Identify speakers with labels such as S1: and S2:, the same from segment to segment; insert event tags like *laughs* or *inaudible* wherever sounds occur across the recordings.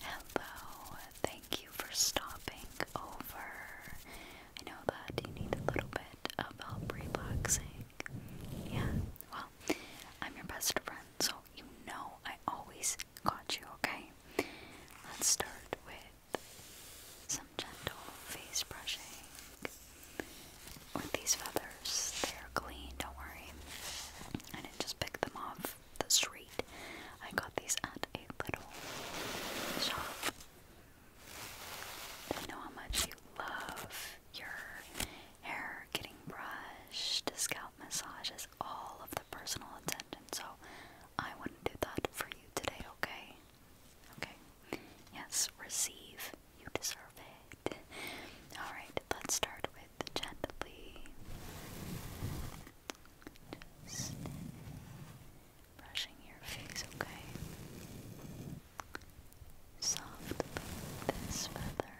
S1: Hello, thank you for stopping over. I know that you need a little bit of help relaxing. Yeah, well, I'm your best friend, so you know I always got you, okay? Let's start with gentle face brushing with these feathers. They're clean, don't worry. I didn't just pick them off the street. I got these at a little shop. I know how much you love your hair getting brushed, scalp massages, all of the personal attention. So I want to do that for you today, okay? Okay. Yes, receive. You deserve it. Alright, let's start with gently. Just brushing your face, okay? Softly this feather.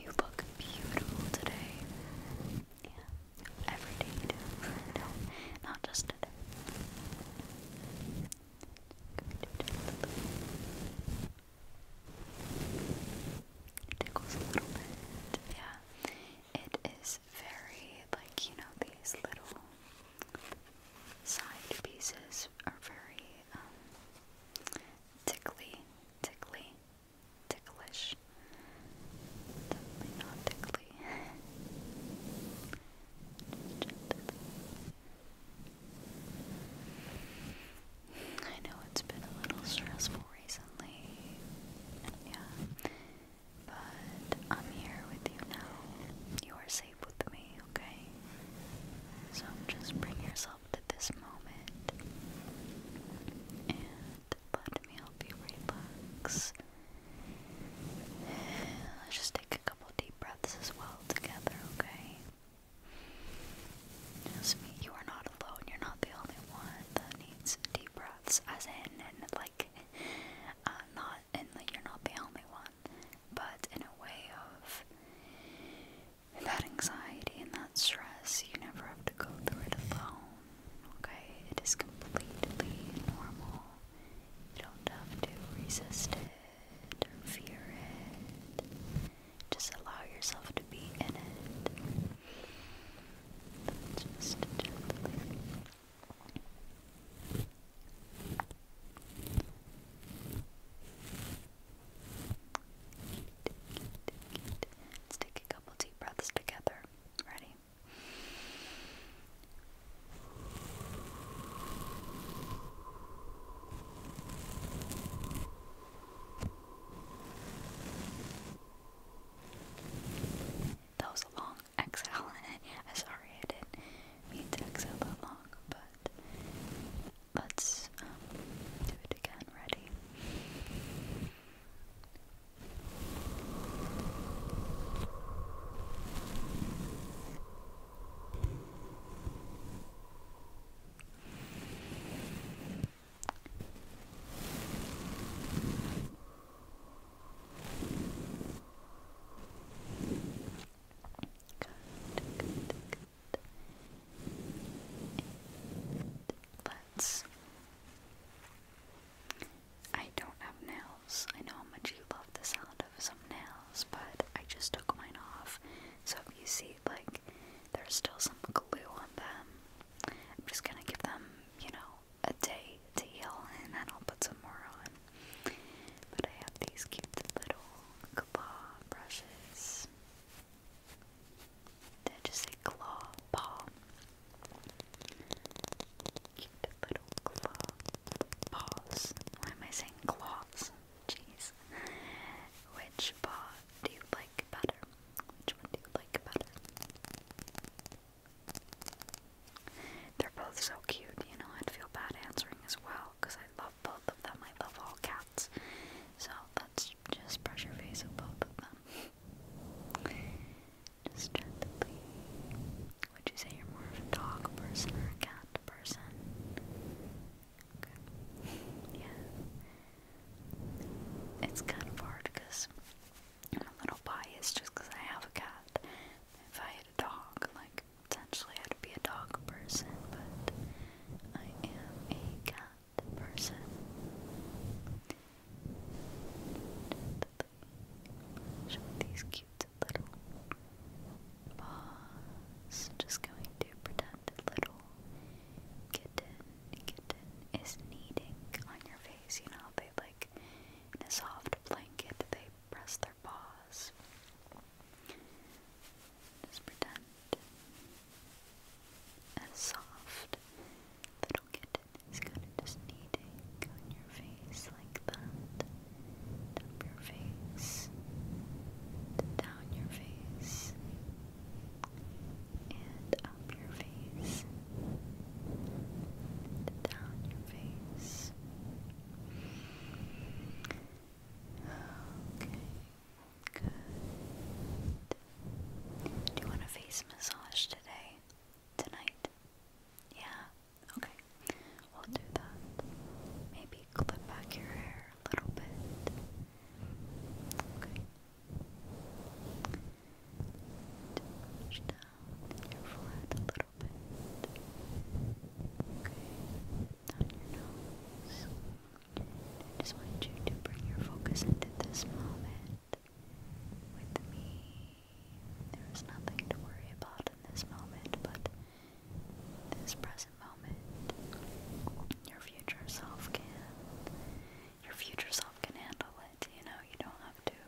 S1: You look beautiful today. Yeah every day do. No, not just today. It tickles a little bit. Yeah. It is very, like, you know, these little side pieces are very um, tickly, tickly, ticklish. Definitely not tickly. I know it's been a little stressful recently. Yeah. But I'm here with you now. You are safe with me, okay? So just bring yourself to this moment and let me help you relax. Let's just take a couple deep breaths as well together, okay? Just You are not alone. You're not the only one that needs deep breaths, as in, and like, uh, not, and like, you're not the only one, but in a way of that anxiety and that stress, you never have to go through it alone okay? It is completely normal. You don't have to resist it or it. Just allow yourself to be in it. Let's take a couple deep breaths together. Ready? That was a long exhale. *laughs* I'm sorry I didn't exhale that long, but let's um, do it again. Ready? Good, good, good. Let's I don't have nails. I know how much you love the sound of some nails, but I just took mine off. So if you see, like, there's still some glue on them, I'm just gonna give them, you know, a day to heal and then I'll put some more on. But I have these cute little claw brushes. Did I just say claw? Paw? cute little claw paws. Why am I saying claws? Jeez. Which paw do you like better? Which one do you like better? They're both so cute, you know, I'd feel bad answering as well, because I love both of them. I love all cats. So let's just brush your face with both of them. Just gently. Would you say you're more of a dog person or a cat person? Okay. Yeah. It's kind of hard because I'm a little biased just because I have a cat. If I had a dog, like, potentially I'd be a dog person, but I am a cat person. Show these cute little paws. Just going to pretend a little kitten, kitten is kneading on your face. You know, they like in a soft blanket, they press their paws. Just pretend a soft little kitten it's gonna just kneading on your face like that. Up your face, down your face, and up your face, down your face. Okay, Do you want a face massage today? Tonight? Yeah. Okay, we'll do that. Maybe clip back your hair a little bit. Okay. Push down your forehead a little bit. Okay, down your nose. I just want you to bring your focus into this moment with me there is nothing to worry about in this moment, but this present moment, your future self can, your future self can handle it. You know, you don't have to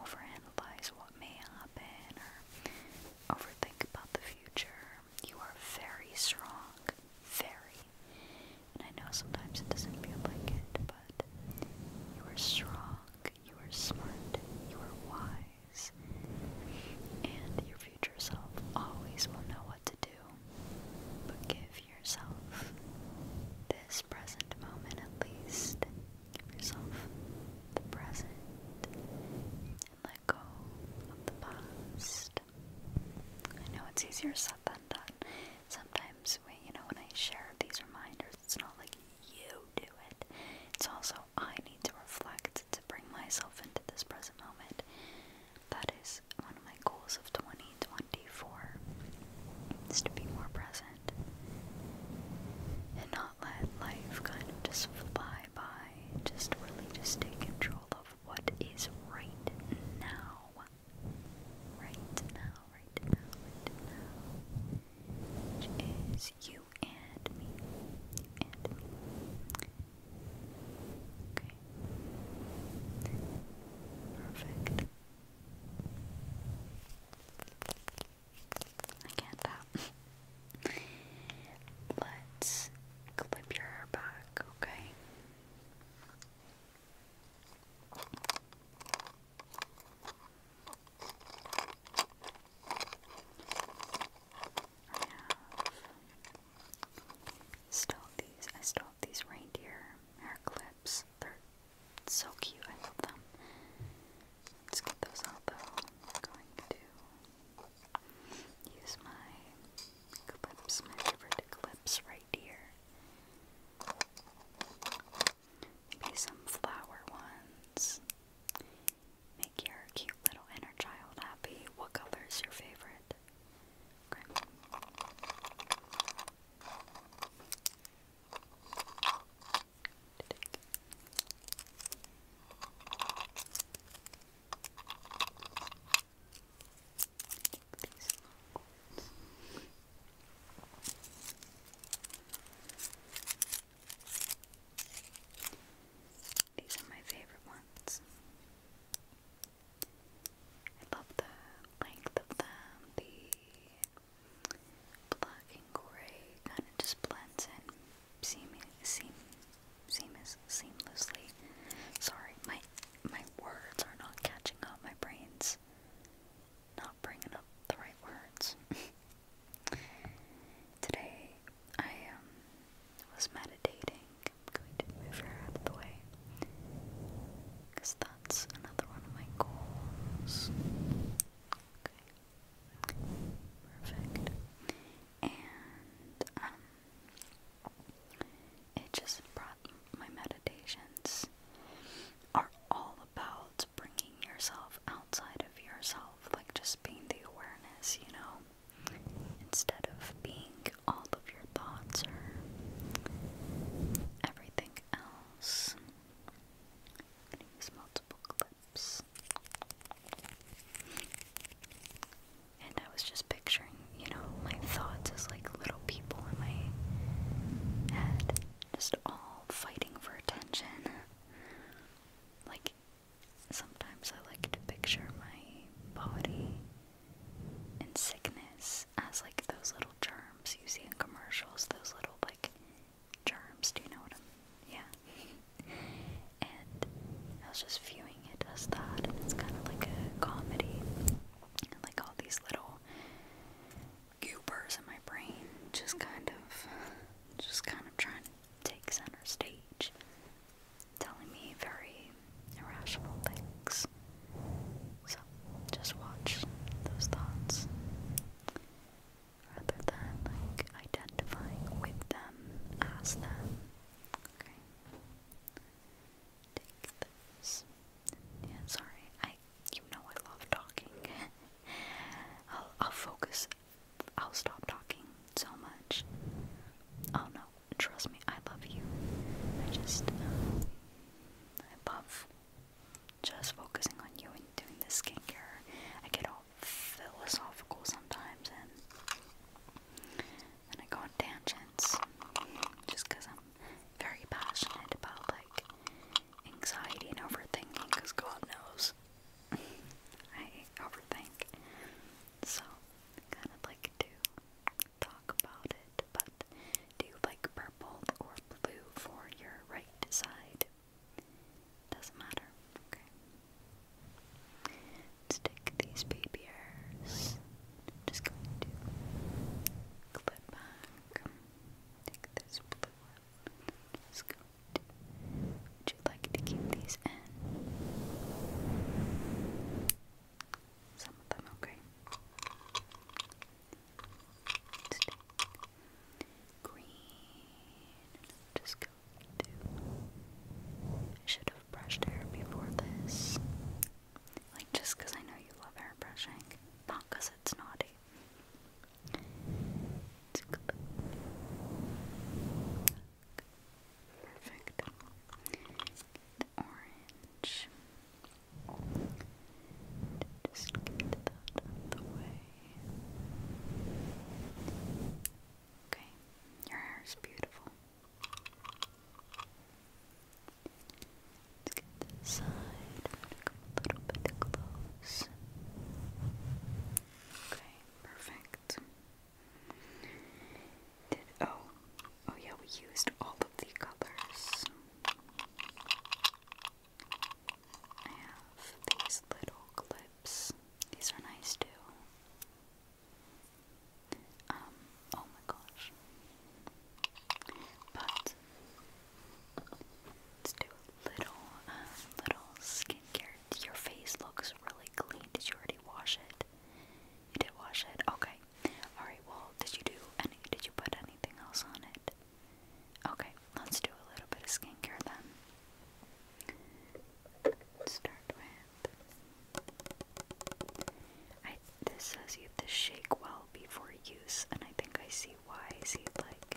S1: overanalyze what may happen or overthink about the future. You are very strong, very. And I know sometimes it doesn't feel like it, but. You are strong, you are smart, you are wise, and your future self always will know what to do. But give yourself this present moment at least. Give yourself the present and let go of the past. I know it's easier said than done. Sometimes, we, you know, when I share these reminders, it's not like you do it. It's also I need to reflect to bring myself into this present moment. That is one of my goals of 2024 is to be more present and not let life kind of just fly by. Just really just take control of what is right now. Right now, right now, right now. Which is you and me. You and me. Okay. Perfect. I can't tap. Let's clip your hair back, okay? I have stole these. I stole these reindeer hair clips. They're so cute. I love them. Let's get those out though. I'm going to use my clips, my favorite clips right here. Maybe some flower ones. Make your cute little inner child happy. What color is your favorite? These are my favorite ones. I love the length of them, the black and gray kind of just blends in seam seamless seamlessly. Sorry, my my words are not catching up, my brain's not bringing up the right words. *laughs* Today I um was meditating. I'm going to move her out of the way. Because that's another one of my goals. Okay. Perfect. And um it just brought my meditations are all about bringing yourself outside of yourself, like just being the awareness, you know, instead of being all of your thoughts or everything else. i And I was just picturing, you know, my thoughts as like little people in my head, just all fighting for attention. Like, sometimes I like to picture my body in sickness as like those little germs you see in commercials, those little like germs, do you know what I'm yeah. *laughs* and I was just viewing it as that and it's kinda like a comedy. And like all these little goopers in my brain, just kind of, just kind of trying to take center stage, telling me very irrational things. So just watch those thoughts rather than like identifying with them as them. Okay. Take this. Yeah, sorry. I, you know, I love talking. *laughs* I'll, I'll focus. I'll stop talking so much. Oh no, trust me, I love you. I just, um, I love just focusing on you and doing the skincare. I get all philosophical sometimes and and I go on tangents just because I'm very passionate about like anxiety and overthinking because God knows I overthink. So, kind of like to talk about it, but do you like purple or blue for your right side? Doesn't matter. Okay. Stick these baby hairs. Just going to clip back. Take this blue one. Just go would you like to keep these in? Some of them, okay. green. Just go I should have brushed hair before this. Like, just I know you love hair brushing. it's naughty. Perfect. The orange. Just get that out of the way. Okay, your hair is beautiful. Let's get this side a little bit close. Okay, perfect. oh oh yeah, we used all of the colors. I have these little clips. These are nice too. Um, oh my gosh. But Let's do a little, uh, little skincare. Your face looks really clean. Did you already wash it? You did wash it. Okay. All right. Well, did you do any? Did you put anything else on it? Okay. Let's do a little bit of skincare then. start with. I. This says you have to shake well before use, and I think I see why. See, like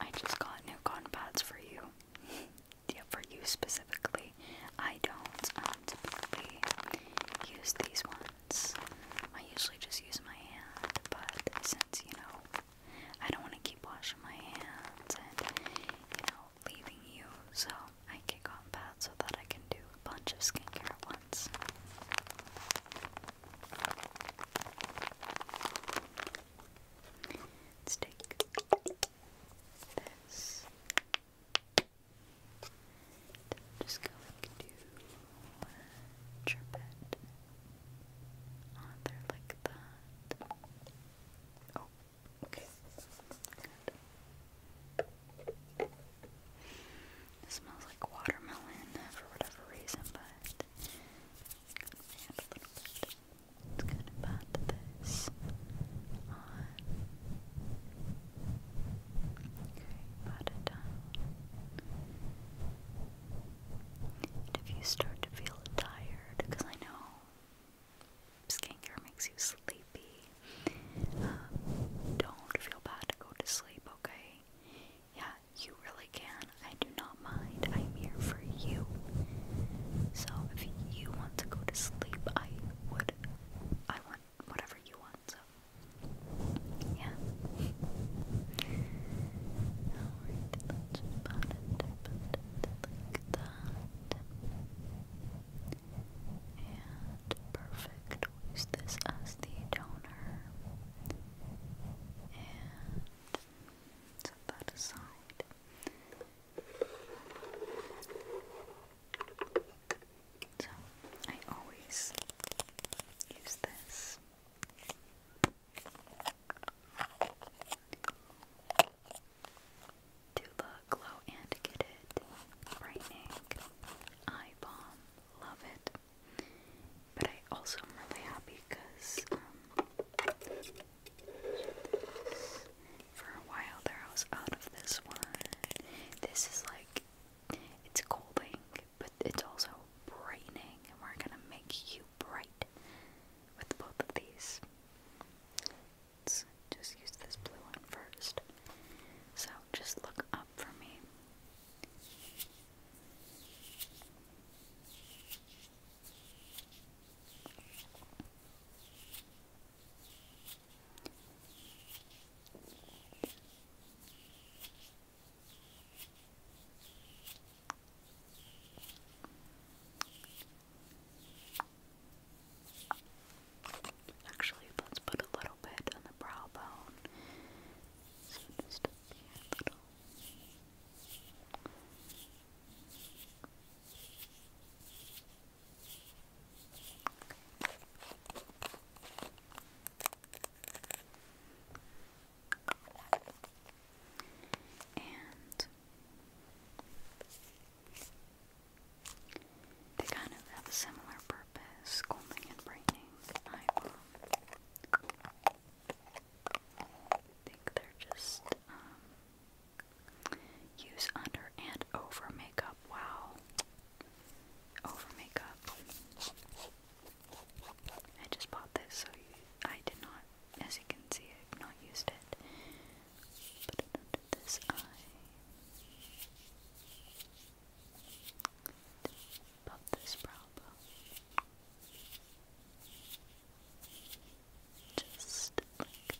S1: I just got new cotton pads for you. *laughs* yeah, for you specifically. I don't um, typically use these ones. I usually just use my hand, but since, you know, I don't want to keep washing my hands and, you know, leaving you, so I get cotton pads so that I can do a bunch of skincare at once. Let's take this. Just going to chirp it on there like that. Oh, okay. It smells like watermelon for whatever reason, but It's gonna this Okay, pat it down. if you start to feel tired, because I know skincare makes you sleepy, uh, don't feel bad to go to sleep, okay? Yeah, you really can. I do not mind. I'm here for you. So if you want to go to sleep, I would. I want whatever you want. So yeah use this as the toner and set that aside. So I always use this. Tuba Glow and Get It Brightening Eye Balm. Love it. But I also am really happy because um, for a while there I was out of this one. This is like it's cooling, but it's also brightening, and we're gonna make you bright with both of these. Let's just use this blue one first. So just look up. Actually, let's put a little bit on the brow bone so just And they kind of have a similar purpose, scolding and brightening eye balm think they're just um, use under and over makeup. Wow, over makeup. I just bought this, so I did not. As you can see, I've not used it. Put under this eye. About this problem. Just Okay.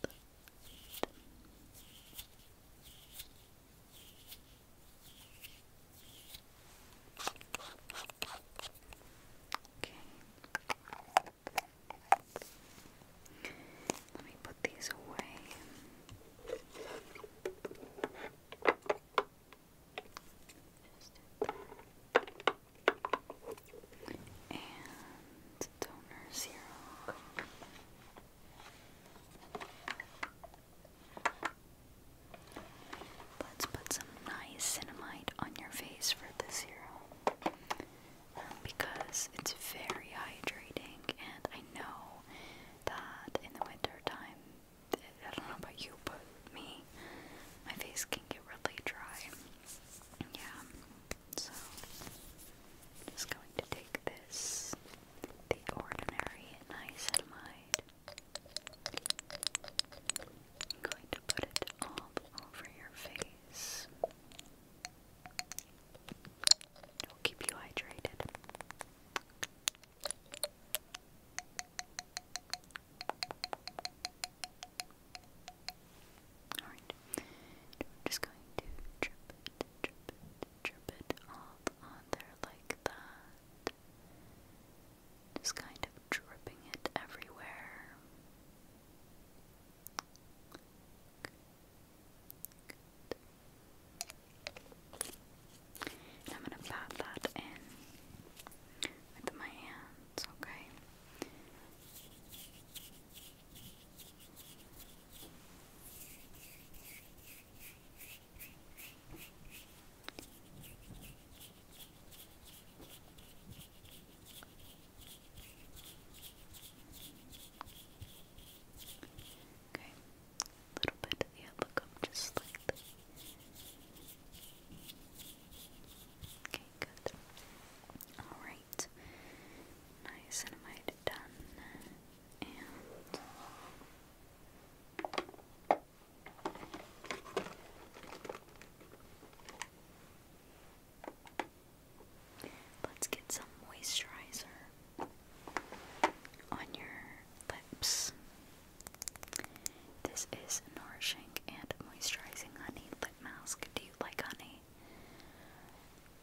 S1: Let me put these away. And toner zero. Let's put some niacinamide on your face for the serum because it's very hydrating, and I know that in the winter time I don't know about you, but me, my face can get really dry. Yeah, so I'm just going to take this, the ordinary niacinamide. I'm going to put it all over your face. It'll keep you hydrated. Alright. I'm just going to drip it, drip it, drip it all on there like that. Just kind of dripping it everywhere. And I'm gonna pat that in with my hands, okay? Okay, a little bit of the upper gum just slightly. Okay, good. Alright. Niacinamide done. And Let's get some moisturizer on your lips. This is nourishing and moisturizing honey lip mask. Do you like honey?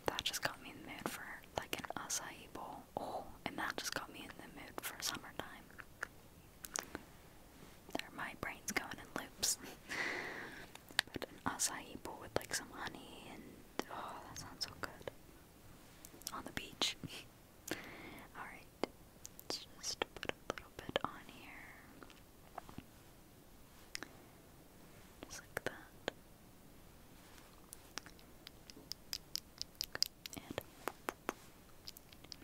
S1: That just got me in the mood for like an acai bowl. Oh, and that just got me in the mood for summertime. There, my brain's going in loops. *laughs* but an acai bowl with like some honey and oh, that sounds so good. On the beach. *laughs* Alright, let's just put a little bit on here. Just like that. And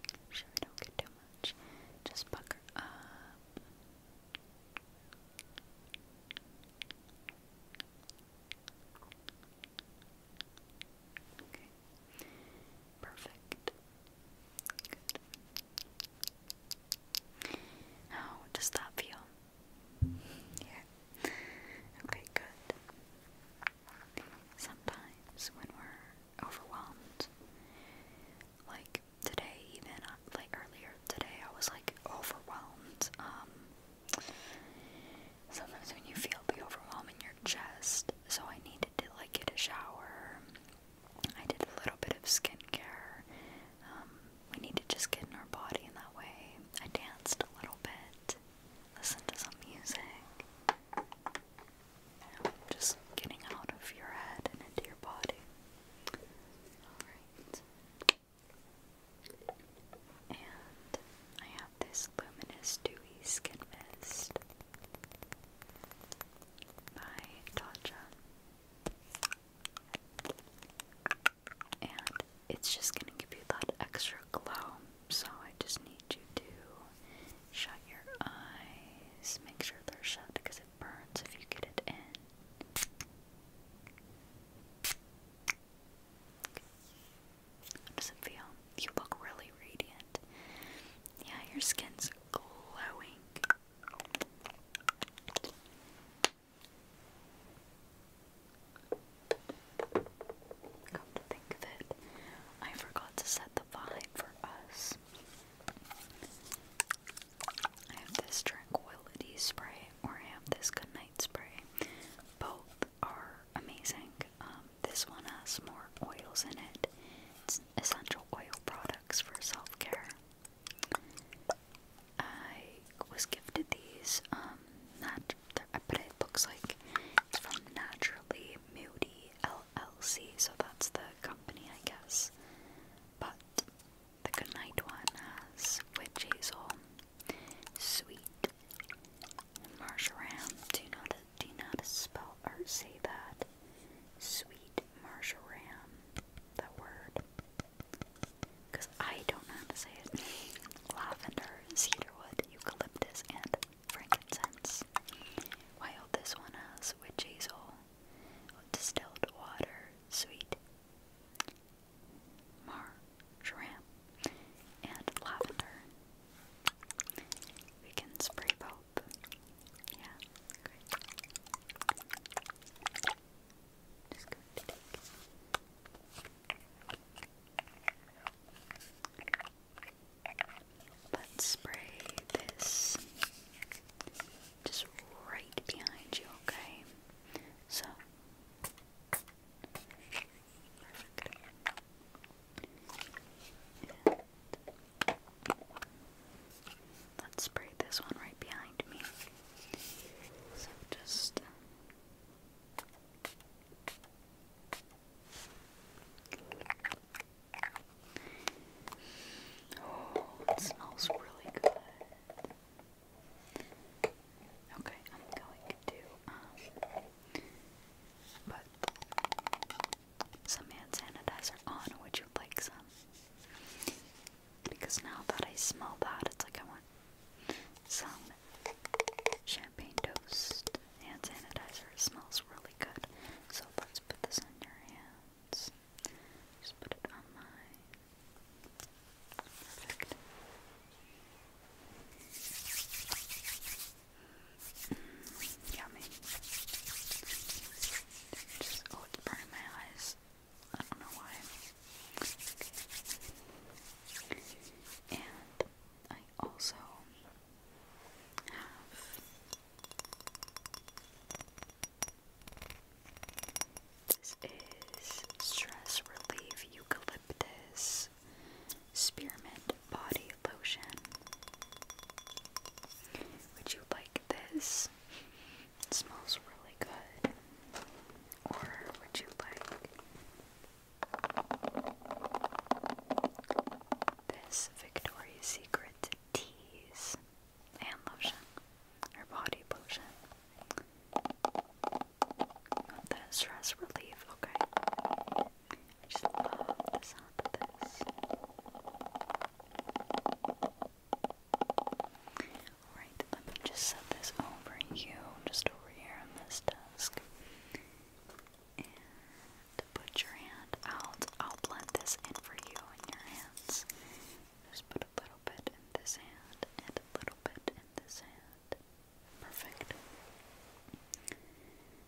S1: make sure we don't get too much. Just pucker Perfect. Good. How does that feel? Yeah. Okay, good. Sometimes when we're overwhelmed, like today, even uh, like earlier today, I was like overwhelmed. Um, sometimes when you feel the overwhelm in your chest, so I needed to like get a shower. I did a little bit of skincare. Um, we need to just get in our body in that way. I danced a little bit, listened to some music. You know, just getting out of your head and into your body. Alright. And I have this Luminous Dewy Skin Mist by Tatcha. And it's just gonna give you that extra glow. So I just need you to shut your eyes. Make sure they're shut because it burns if you get it in. How does it feel? You look really radiant. Yeah, your skin's glowing. Come to think of it, I forgot to set the vibe for us. I have this tranquility spray or I have this goodnight spray. Both are amazing. Um, this one has more oils in it. It's essential oil products for self care. I was gifted these. Um, not, but it looks like it's from Naturally Moody LLC, so that's the company, I guess. But the good night one has witch hazel, sweet Marjoram. Do not do not spell or say that. Sweet marjoram. That word. Cause I don't know how to say it. Lavender, cedarwood, eucalyptus, and frankincense. While this one has witch hazel, distilled water, sweet marjoram, and lavender. We can spray both. Yeah, great. Just going to take Let's spray this just right behind you, okay? So Perfect. let's spray this one right behind me. So just uh, Oh, it smells really good. Okay, I'm going to um, some hand sanitizer on. Would you like some? Because now that I smell that, it's like I want some champagne toast hand sanitizer. It smells really good. So let's put this on your hands. Just put it on mine. Perfect yummy. oh, it's burning my eyes. I don't know why. And I also have this is stress relief eucalyptus is Spearmint Body Lotion. Would you like this? smells really good. Or would you like this Victoria's Secret teas and lotion or body lotion? Want stress relief, okay. I just love the sound of this. Alright, let me just set this over you, just over here on this desk. And put your hand out. I'll blend this in for you in your hands. Just put a little bit in this hand and a little bit in this hand. Perfect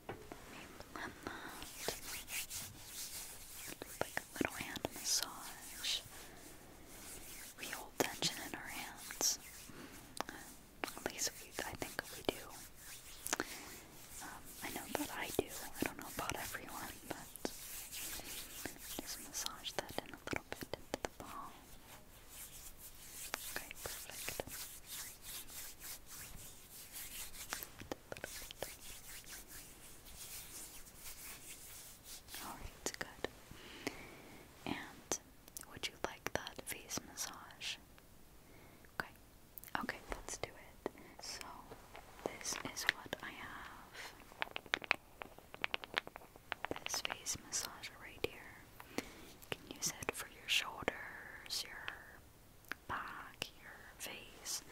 S1: blend that. little hand massage. We hold tension in our hands. At least we, I think we do. I know that I do. I don't know about everyone, but just massage that in a little bit into the palm. Okay, Alright, good. And would you like that face massage? Okay. Okay, let's do it. So, this is what I have. This face massage right here. can use it for your shoulders, your back, your face,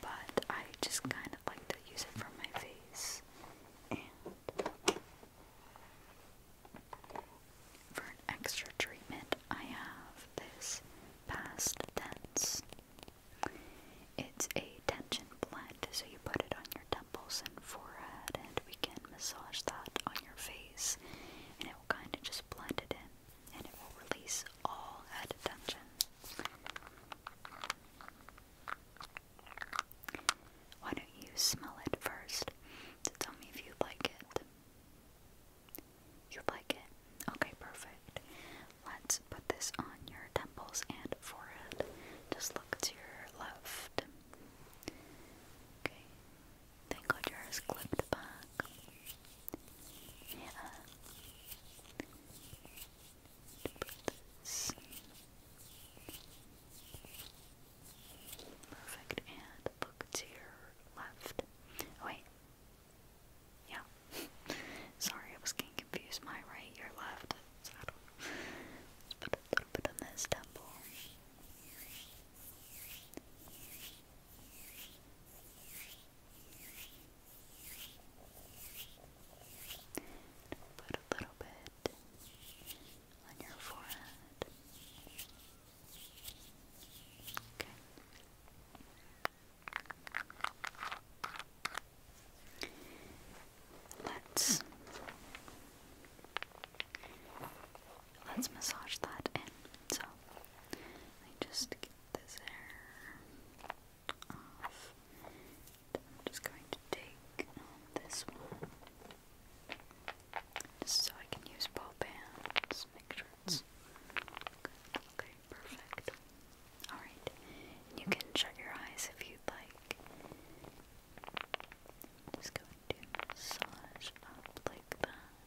S1: but I just kind of like to use it for my face and for an extra treatment I have this past tense. It's a tension blend, so you put it on your temples and forehead, and we can massage that on your face, and it will kind of just blend it in and it will release all head tension. Why don't you smell it first to tell me if you like it? You like it? Okay, perfect. Let's put this on your temples and forehead. Just look to your left. Okay, Thank God yours clipped back. Yeah. Perfect. And the to your left. Oh, wait. Yeah. *laughs* Sorry, I was getting confused. My right, your left. So I put a little bit on this temple. Put a little bit on your forehead. Okay. Let's let's massage that in. So, I just get this hair off. just going to take this one. Just so I can use both bands. Make sure it's Okay, perfect. Alright. You can shut your eyes if you'd like. Just go and massage up like that.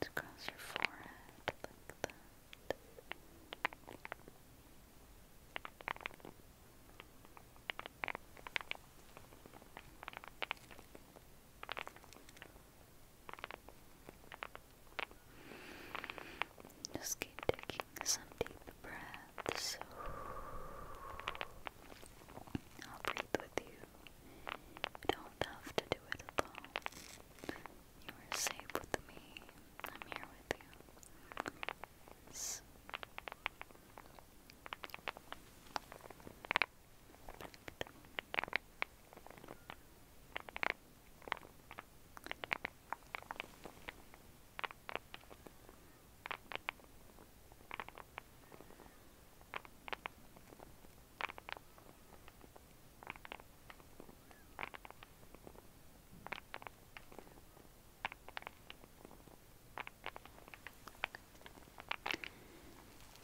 S1: It's across your forehead like that. Just keep taking some deep breaths. I'll breathe with you. don't have to do it alone. You are safe with me. I'm here with you.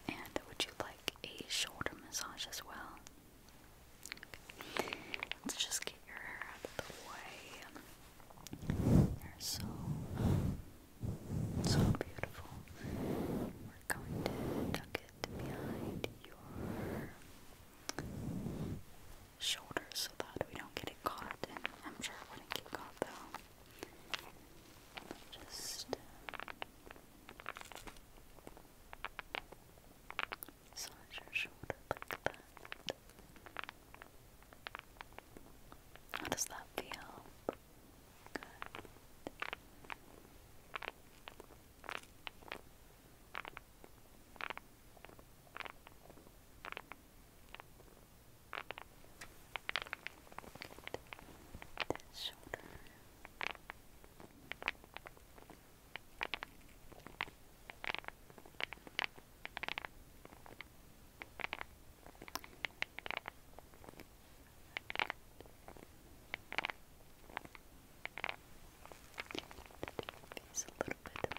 S1: And would you like a shoulder massage as well? Let's just get your hair out of the way. They're so, so beautiful. We're going to tuck it behind your shoulder so that we don't get it caught. I'm sure it wouldn't get caught though. Just uh, massage your shoulder like how does that feel? Good. This shoulder. These a little bit more. Get everywhere. Good.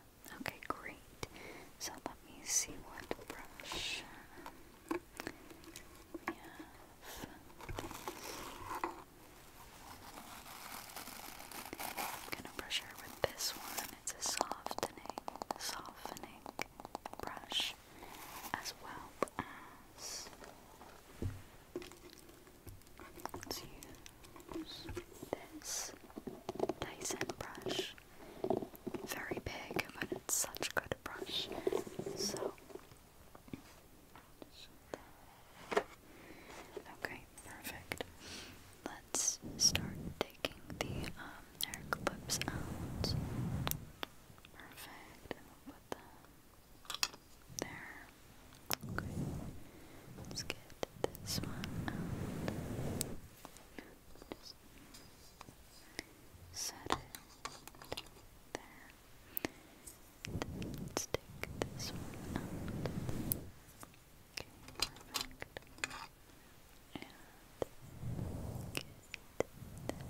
S1: Okay, great. So let me see what brush um, I'm gonna brush her with this one. It's a softening, softening brush, as well as let use this Dyson brush. Very big, but it's such a good brush. So, okay, perfect. Let's start taking the hair um, clips out. Perfect. put them there. Okay, let's get this one Just set it there. let's take this one out. And get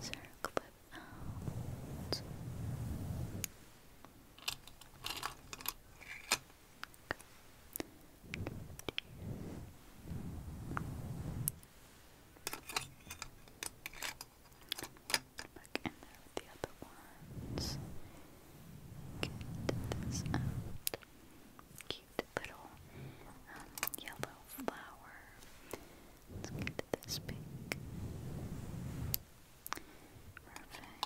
S1: this clip out. Back in there the other ones. Get this Cute little yellow flower. Let's get this pink. Perfect.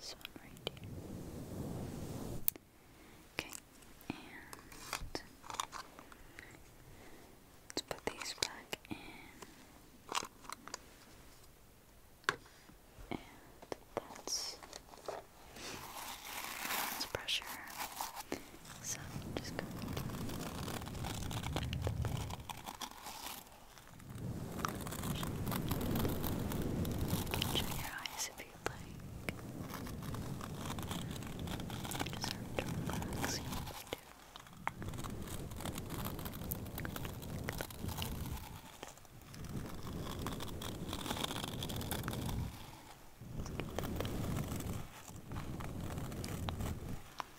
S1: This one right here. Okay, and let's put these back in. And that's that's pressure. So just going Shut your eyes if you'd like. You deserve to relax, you know you do. Good.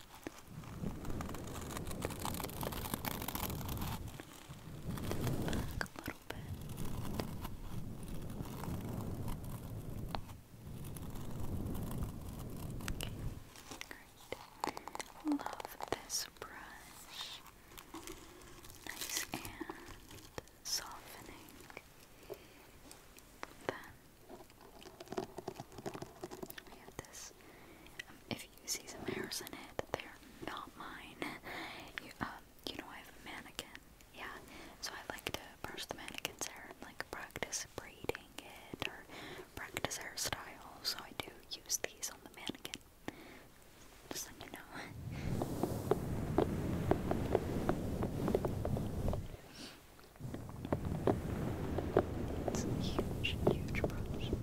S1: Back a little bit. great. Love this brush. Nice and softening. Then we have this if you see some hairs in it, they're not mine. You, um, you know I have a mannequin, yeah, so I like to brush the mannequin's hair and like practice braiding it or practice hairstyle, so I do use these on the mannequin. Just so you know. It's a huge, huge brush.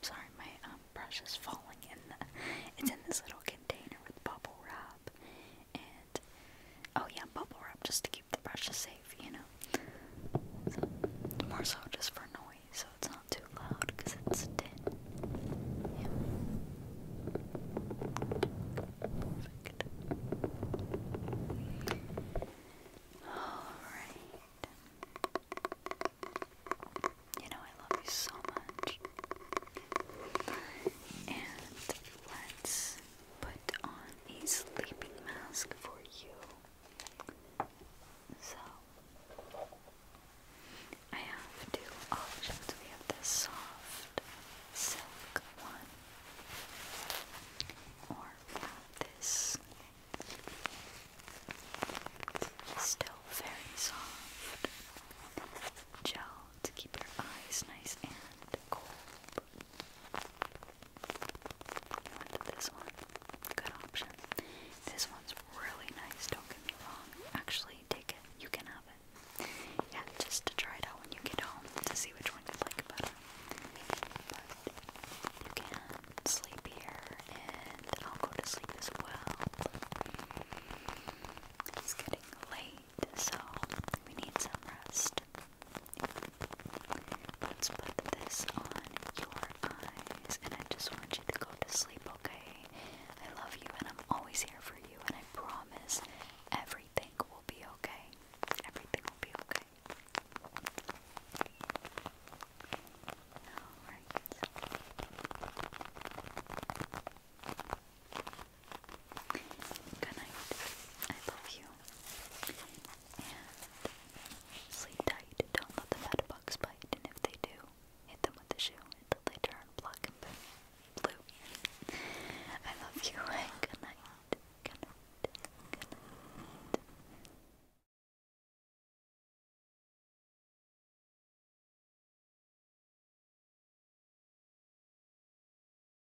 S1: Sorry, my um, brush is falling in It's in this little container with bubble wrap and oh yeah, bubble wrap just to keep the brushes safe, you know. more so just for noise, so it's not too loud because it's tin. Yeah. Alright. You know, I love you so much. And let's put on a sleeping mask for you. So, I have two options. We have this soft silk one, or this still very soft gel to keep your eyes nice and cool this one. Good option. This one's really nice, don't get me wrong. Actually, take it. You can have it. Yeah, just to try it out when you get home to see which one you like better. But you can sleep here, and I'll go to sleep as well. It's getting late, so we need some rest. Let's put this on your eyes, and I just want you to go to sleep, okay? I love you, and I'm always here for you, and I promise everything will be okay. Everything will be okay. Alright. Good night. I love you. And sleep tight. Don't let the fat bugs bite. And if they do, hit them with a shoe until they turn black and blue. I love you. *laughs* good night. Good night. Good night.